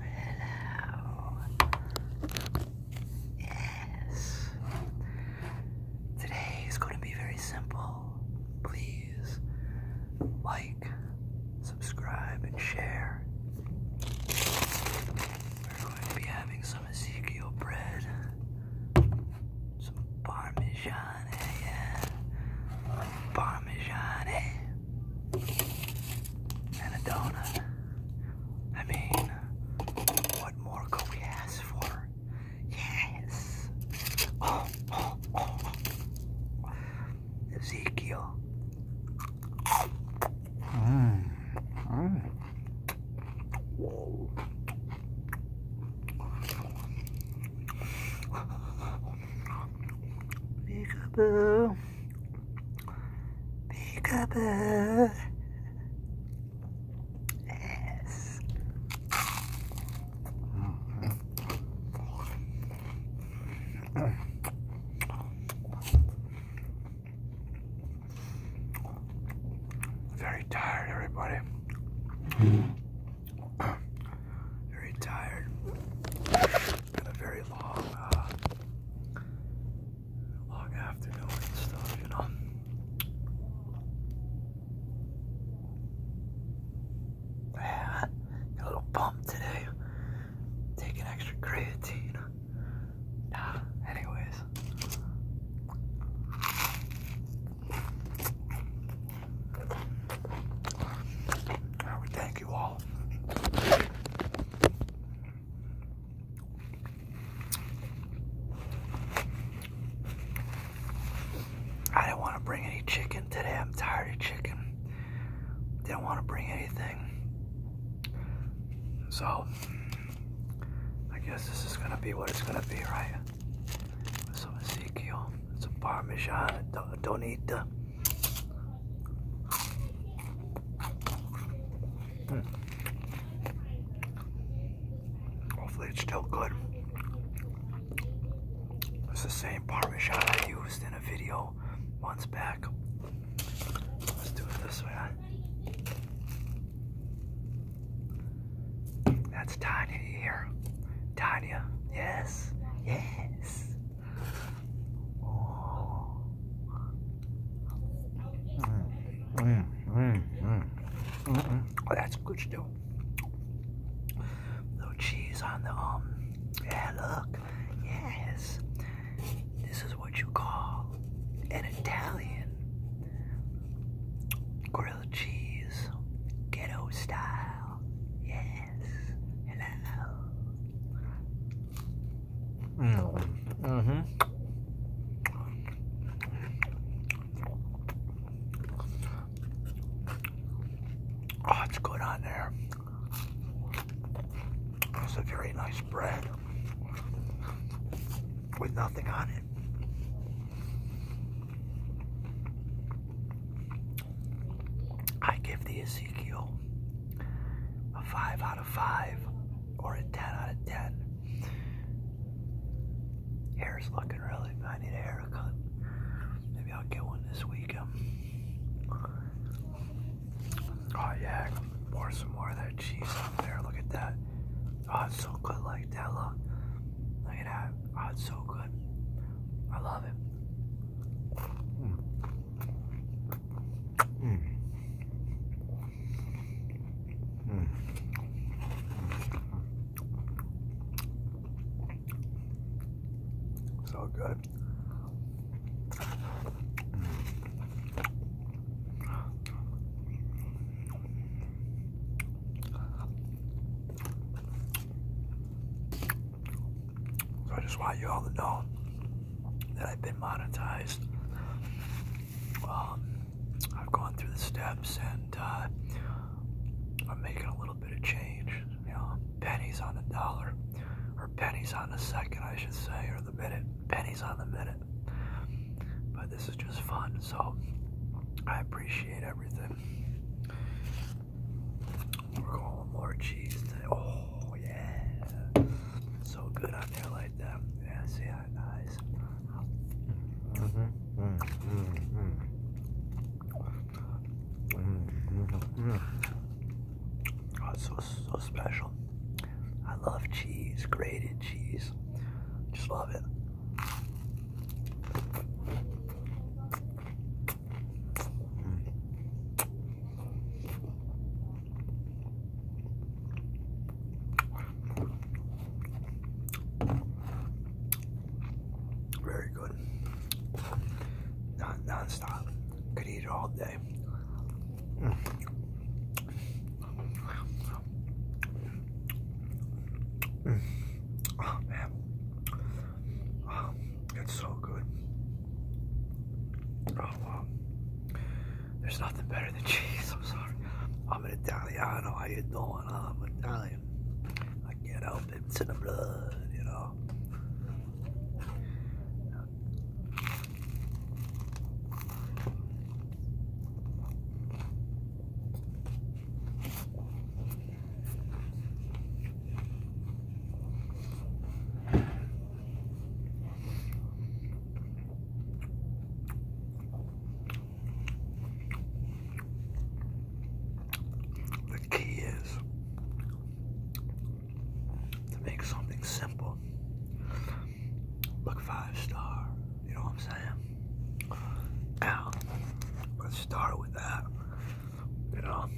Hello. Yes. Today is going to be very simple. Please like, subscribe, and share. We're going to be having some Ezekiel bread, some Parmesan, Parmesan. Eh? and a donut. I mean, what more could we ask for? Yes. Oh, oh, oh. Ezekiel. Mm. Mm. Whoa. Peekaboo. Peekaboo. Yes. Very tired, everybody very tired. Been a very long, uh, long afternoon and stuff, you know. Yeah, a little bump today. Taking extra creatine. Yeah, anyways. I would thank you all. I didn't want to bring any chicken today. I'm tired of chicken. Didn't want to bring anything. So, I guess this is going to be what it's going to be, right? some Ezekiel, some Parmesan, don't eat the. Hmm. Hopefully it's still good. It's the same Parmesan I used in a video months back. Let's do it this way. That's Tanya here. Tanya, yes, yes. Oh. oh that's good still. Little cheese on the um. Yeah, look. Yes. This is what you call an Italian cheese, ghetto style. Yes. Hello. Mm. Mm-hmm. Oh, it's good on there. It's a very nice bread with nothing on it. I give the Ezekiel a 5 out of 5 or a 10 out of 10. Hair's looking really, I need a haircut. Maybe I'll get one this weekend. Um. Oh yeah, pour some more of that cheese up there, look at that. Oh, it's so good like that, look. Look at that. Oh, it's so good. I love it. Mm. So good. So I just want you all to know that I've been monetized. Um, I've gone through the steps and uh, I'm making a little bit of change. You know, pennies on the dollar, or pennies on the second, I should say, or the minute. Pennies on the minute. But this is just fun. So I appreciate everything. We're going more cheese today. Oh, yeah. So good on there like that. Yeah, see how nice. Mm -hmm. Mm -hmm. Mm -hmm. Mm -hmm. Oh, it's so, so special. I love cheese, grated cheese. Just love it. Very good. Not non-stop. Could eat it all day. Mm. Oh mm. man, it's so good. Oh there's nothing better than cheese. I'm sorry, I'm an know How you are doing? I'm Italian. I can't help it. It's in the blood, you know. The key is to make something simple, but five star you know what I'm saying? Now, let's start with that. You know,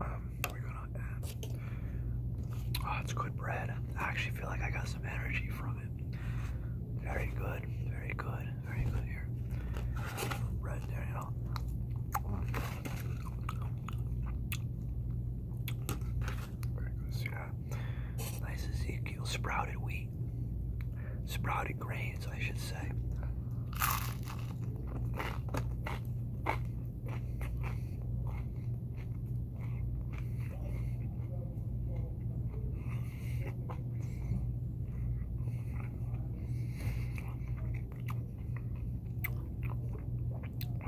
um, we're gonna Oh, it's good bread. I actually feel like I got some energy from it. Very good, very good, very good here. Bread there, you know. Very Nice Ezekiel. Sprouted wheat. Sprouted grains, I should say.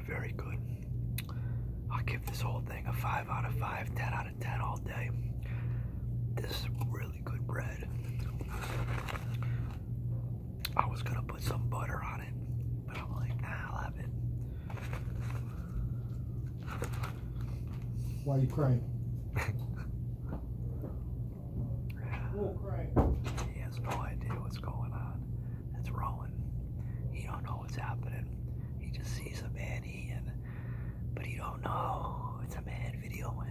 Very good. I'll give this whole thing a 5 out of 5, 10 out of 10 all day. This is really good bread. I was gonna put some butter on it, but I'm like, nah, i love it. Why are you crying? He has no idea what's going on that's rolling. He don't know what's happening. He just sees a man eating, but he don't know it's a man videoing.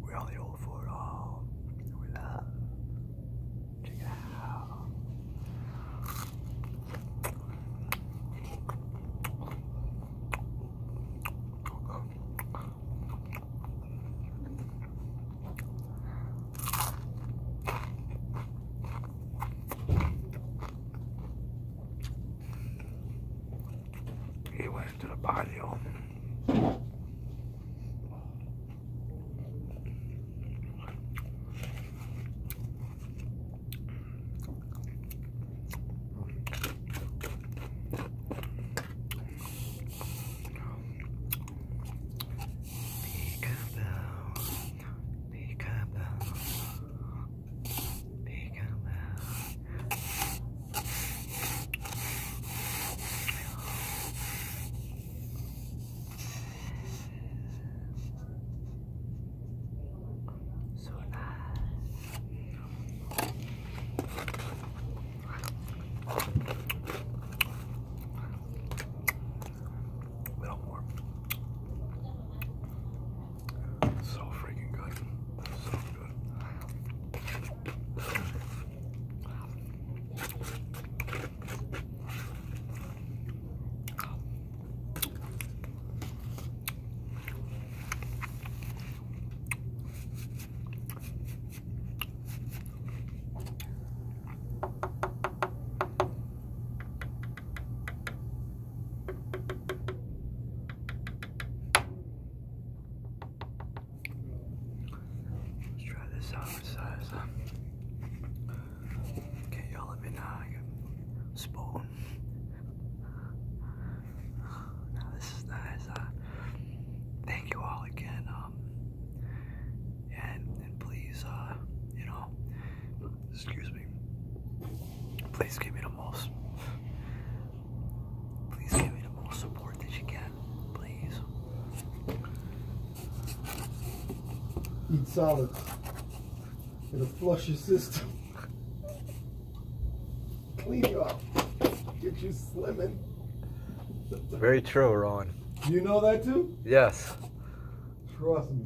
We're on the old for love. Check it out. He went to the patio. Peekaboo, peekaboo, Big out loud. So Little uh, more. So freaking good. So good. Let's try this out with Okay, y'all let me know. spoon. Now this is nice. Uh, thank you all again. Um, and and please, uh, you know, excuse me. Please give me the most. Please give me the most support that you can, please. Eat solids. It'll flush your system. Clean you out. Get you slimming. Very true, Ron. You know that too? Yes. Trust me.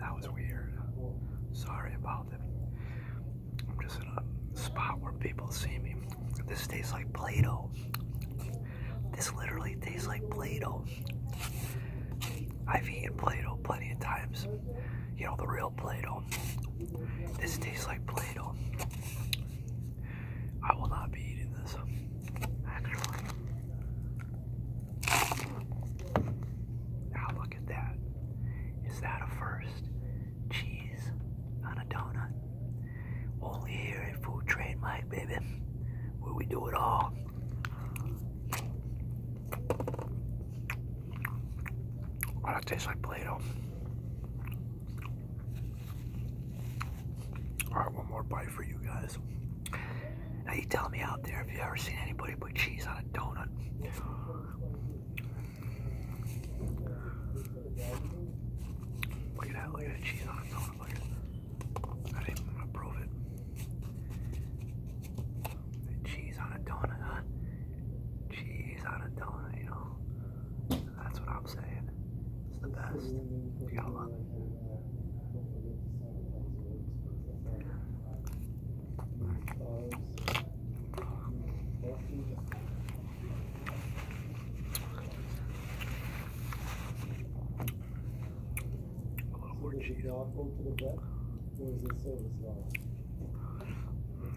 That was weird. Sorry about that. I'm just in a spot where people see me. This tastes like Play-Doh. This literally tastes like Play-Doh. I've eaten Play-Doh plenty of times. You know, the real Play-Doh. This tastes like Play-Doh. I will not be eating this, actually. Now look at that. Is that a first? Cheese on a donut. Only here at Food Train Mike, baby, where we do it all. Oh, that tastes like Play-Doh. Alright, one more bite for you guys. Now you tell me out there if you ever seen anybody put cheese on a donut. Look at that, look at that cheese on a donut. I didn't to prove it. Cheese on a donut, Cheese on a donut, you know? That's what I'm saying. It's the best. You got so does more cheese. Awful to the breath, or is it so slow? A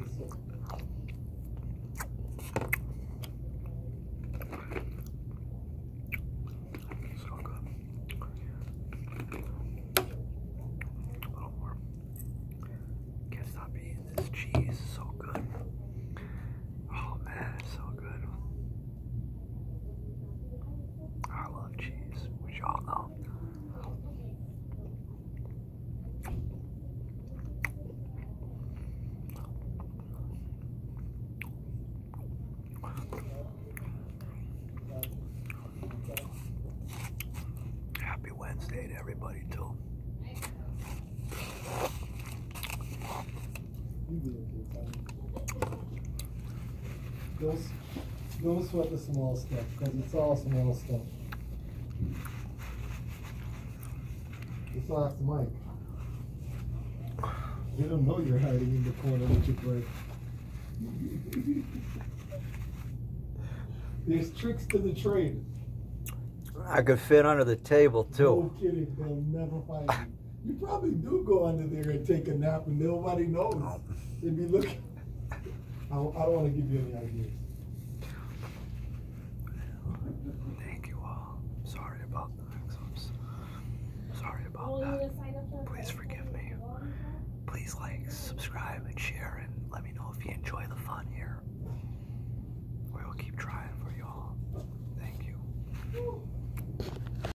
little more. Can't stop eating this cheese. So good. Oh man, so good. I love cheese, which y'all know. Happy Wednesday to everybody, too. Don't sweat the small stuff, because it's all small stuff. It's off the mic. They don't know you're hiding in the corner with your play. There's tricks to the trade. I could fit under the table too. No kidding, they'll never find you probably do go under there and take a nap, and nobody knows. They'd oh. be looking. I don't, want to give you any ideas. Thank you all. Sorry about that. i sorry about that. Please forgive me. Please like, subscribe, and share, and let me know if you enjoy the fun here. We will keep trying for y'all. Thank you.